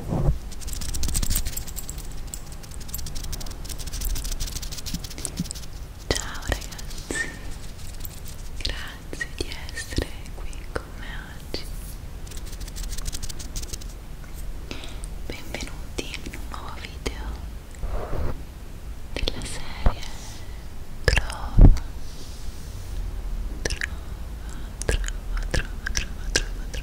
Ciao ragazzi, grazie di essere qui con me oggi. Benvenuti in un nuovo video della serie Trova, Trova, Trova, Trova, Trova, Trova, Trova.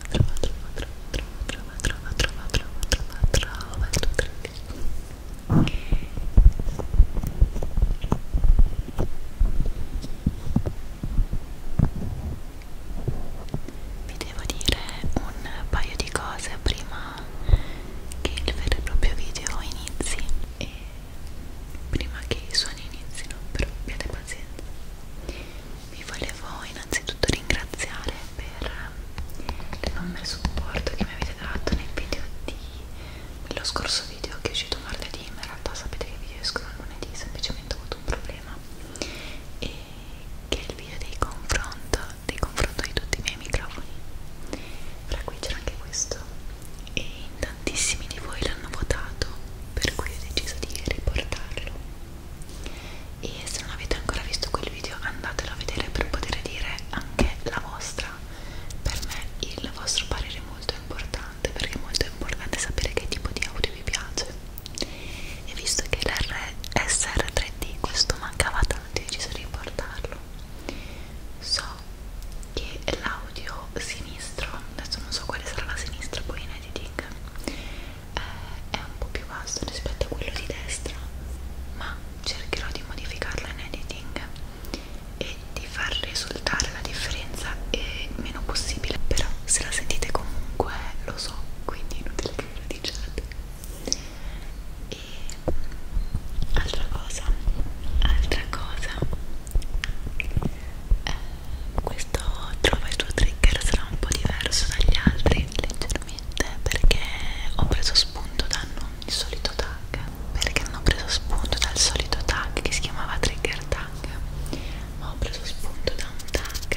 trova, trova, trova, trova, trova, trova, trova, trova, trova il tuo trick. Vi devo dire un paio di cose prima che il vero e proprio video inizi e prima che i suoni inizino, però abbiate pazienza vi volevo innanzitutto ringraziare per l'enorme supporto che mi avete dato nel video di nello scorso video che è uscito martedì ma in realtà sapete che i video escono lunedì semplicemente ho avuto un problema e che è il video dei confronto dei confronto di tutti i miei microfoni fra cui c'era anche questo e in tantissimi di voi l'hanno votato per cui ho deciso di riportarlo e se non avete ancora visto quel video andatelo a vedere per poter dire anche la vostra per me il vostro parere è molto importante perché è molto importante sapere che tipo di audio vi piace e visto che l'SR3D questo mancava tanto ho deciso di portarlo so che l'audio sinistro adesso non so quale sarà la sinistra poi in editing eh, è un po' più basso rispetto a quello di destra ma cercherò di modificarla in editing e di far risultare la differenza eh, meno possibile però se la sentite comunque lo so quindi inutile che ve lo diciate e altra cosa altra cosa eh, questo trova il tuo trigger sarà un po' diverso dagli altri leggermente ovviamente perché ho preso spunto da non il solito tag perché non ho preso spunto dal solito tag che si chiamava trigger tag ma ho preso spunto da un tag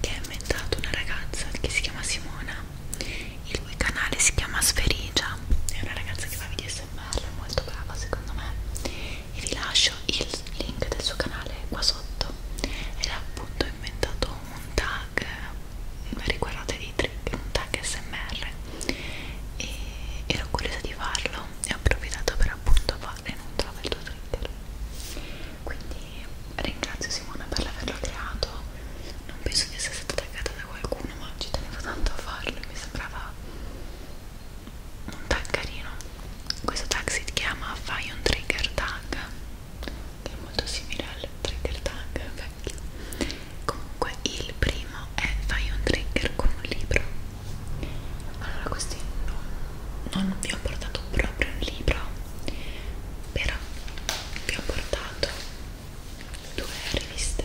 che ha inventato una ragazza che si chiama Simona il cui canale si chiama Sferigia è una ragazza che fa video smr molto brava secondo me e vi lascio il link del suo canale qua sotto ed ha appunto inventato un tag riguardate dei trick, un tag smr e ero curiosa di farlo e ho approfittato per appunto farlo in un travel to trigger quindi ringrazio Simona per l'averlo creato non penso di essere stata taggata da qualcuno ma ci tenevo tanto a farlo e mi sembrava un tag carino questo tag si chiama fai un trigger tag che è molto simile al trigger tag vecchio comunque il primo è fai un trigger con un libro allora questi no, non vi ho portato proprio un libro però vi ho portato due riviste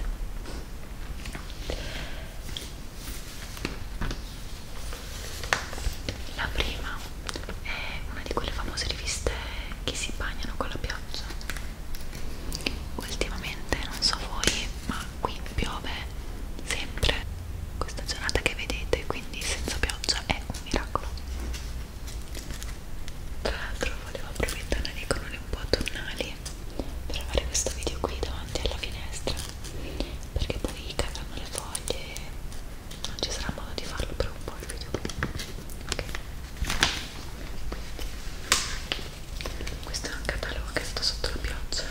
la prima è una di quelle famose riviste che si bagnano con la pioggia ultimamente non so voi ma qui piove sempre questa giornata che vedete quindi senza pioggia è un miracolo tra l'altro volevo approfittare dei colori un po' autunnali per fare questo video qui davanti alla finestra perché poi cadranno le foglie non ci sarà modo di farlo per un po' il video okay. questo è un catalogo che è stato sotto la pioggia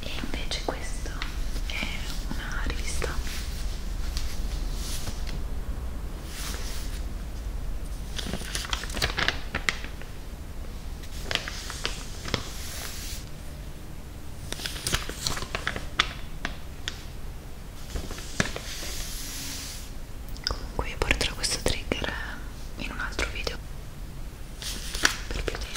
e invece questa è una rivista Comunque io porterò questo trigger eh, in un altro video per più tempo.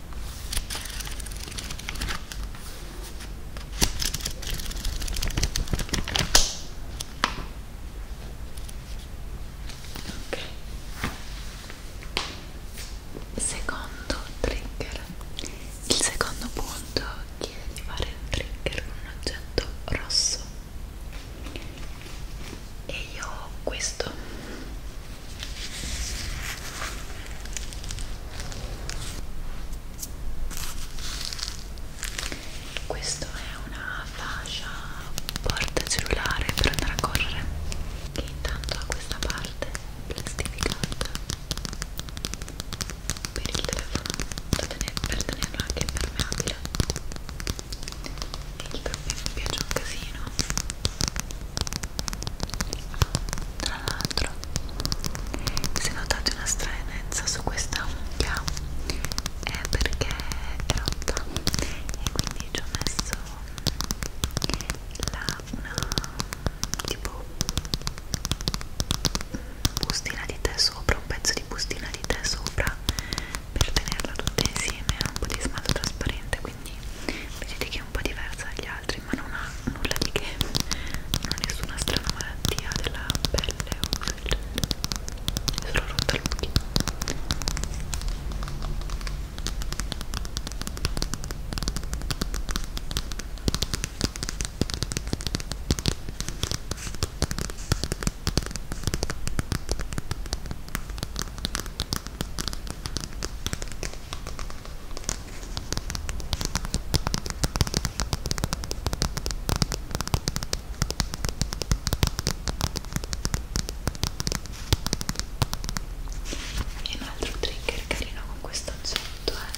Ok. Secondo trigger. Il secondo punto chiede di fare un trigger con un oggetto rosso. E io ho questo questo è una fascia portacellulare per andare a correre che intanto ha questa parte plastificata per il telefono da tenere, per tenerlo anche impermeabile e il problema mi piace un casino tra l'altro se notate una stranezza su questa unghia è perché è rotta e quindi ci ho messo la, una tipo bustina di tè sopra un pezzo di bustina di tè sopra per tenerla tutta insieme un po' di smalto trasparente quindi vedete che è un po' diversa dagli altri ma non ha nulla di che non ha nessuna strana malattia della pelle o cose del genere è solo rotta il buchino e un altro trigger carino con questo oggetto è eh?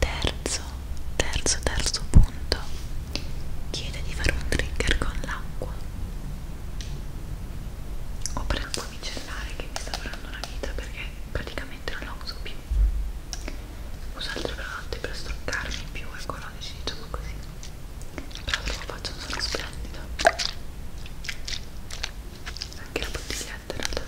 Terzo, terzo, terzo punto. Chiede di fare un trigger con l'acqua o per acqua micellare che mi sta durando una vita perché praticamente non la uso più uso altri prodotti per struccarmi più ecologici diciamo così però lo faccio sono splendido anche la bottiglietta in realtà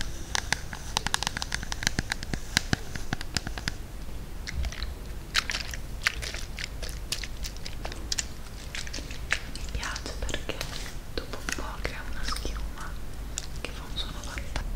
mi piace perché dopo un po' crea una schiuma che fa un suono fantastico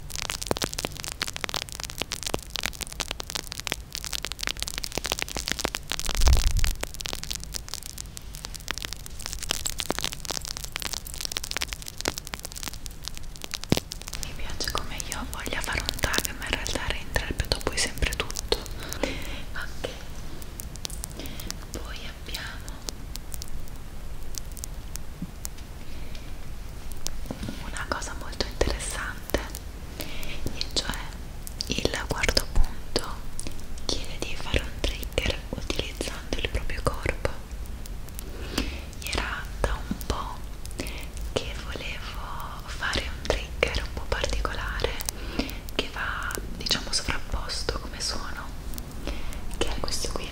Mi piace come io voglia fare un tag, ma in realtà reinterpreto poi sempre tutto. Ok, poi abbiamo una cosa molto interessante e cioè il quarto punto chiede di fare un trigger utilizzando il proprio corpo era da un po' che volevo fare un trigger un po' particolare che va diciamo sovrapposto come suono che è questo qui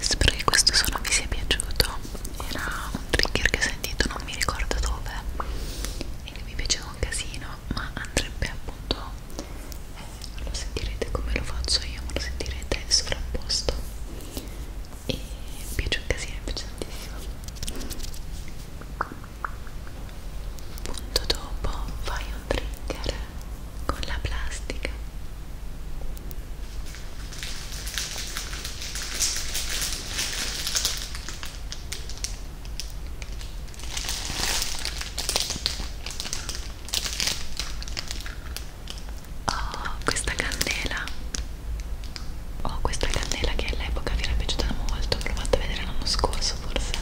Spero che questo suono vi sia piaciuto. Era un trigger che ho sentito, non mi ricordo dove, e che mi piaceva un casino, ma andrebbe appunto. Eh, non lo sentirete come lo faccio io, ma lo sentirete sovrapposto. E mi piace un casino, mi piace tantissimo punto dopo fai un trigger con la plastica Oh, questa candela Oh, questa candela che all'epoca vi era piaciuta molto, l'ho fatta vedere l'anno scorso forse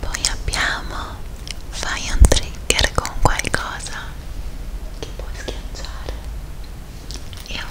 Poi abbiamo fai un trigger con qualcosa che puoi schiacciare. Io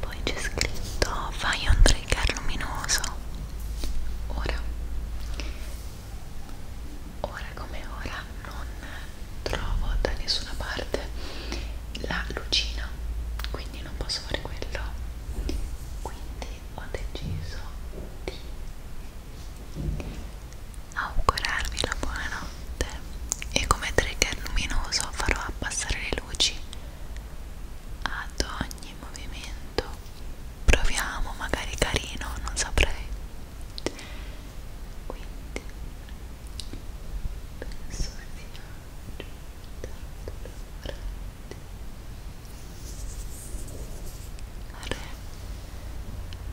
Poi c'è scritto fai un trigger luminoso. Ora, ora come ora non trovo da nessuna parte la lucina, quindi non posso fare quello. Quindi ho deciso di augurarvi la buonanotte e come trigger luminoso farò abbassare le luci ad ogni movimento proviamo magari carino non saprei quindi penso sia giunta l'ora di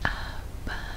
fare abbassare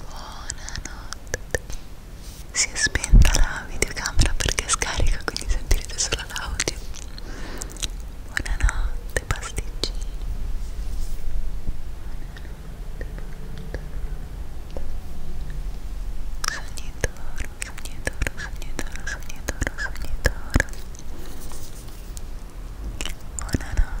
Buonanotte. Si è spenta la videocamera perché scarica, quindi sentirete solo l'audio. Buonanotte, pasticcini. Sogni d'oro, sogni d'oro, sogni d'oro, sogni d'oro, sogni d'oro. Buonanotte.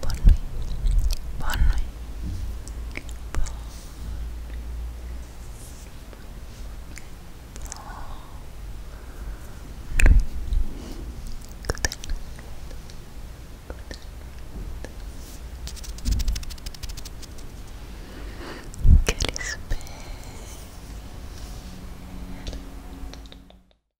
Bonne nuit. Bonne Good Good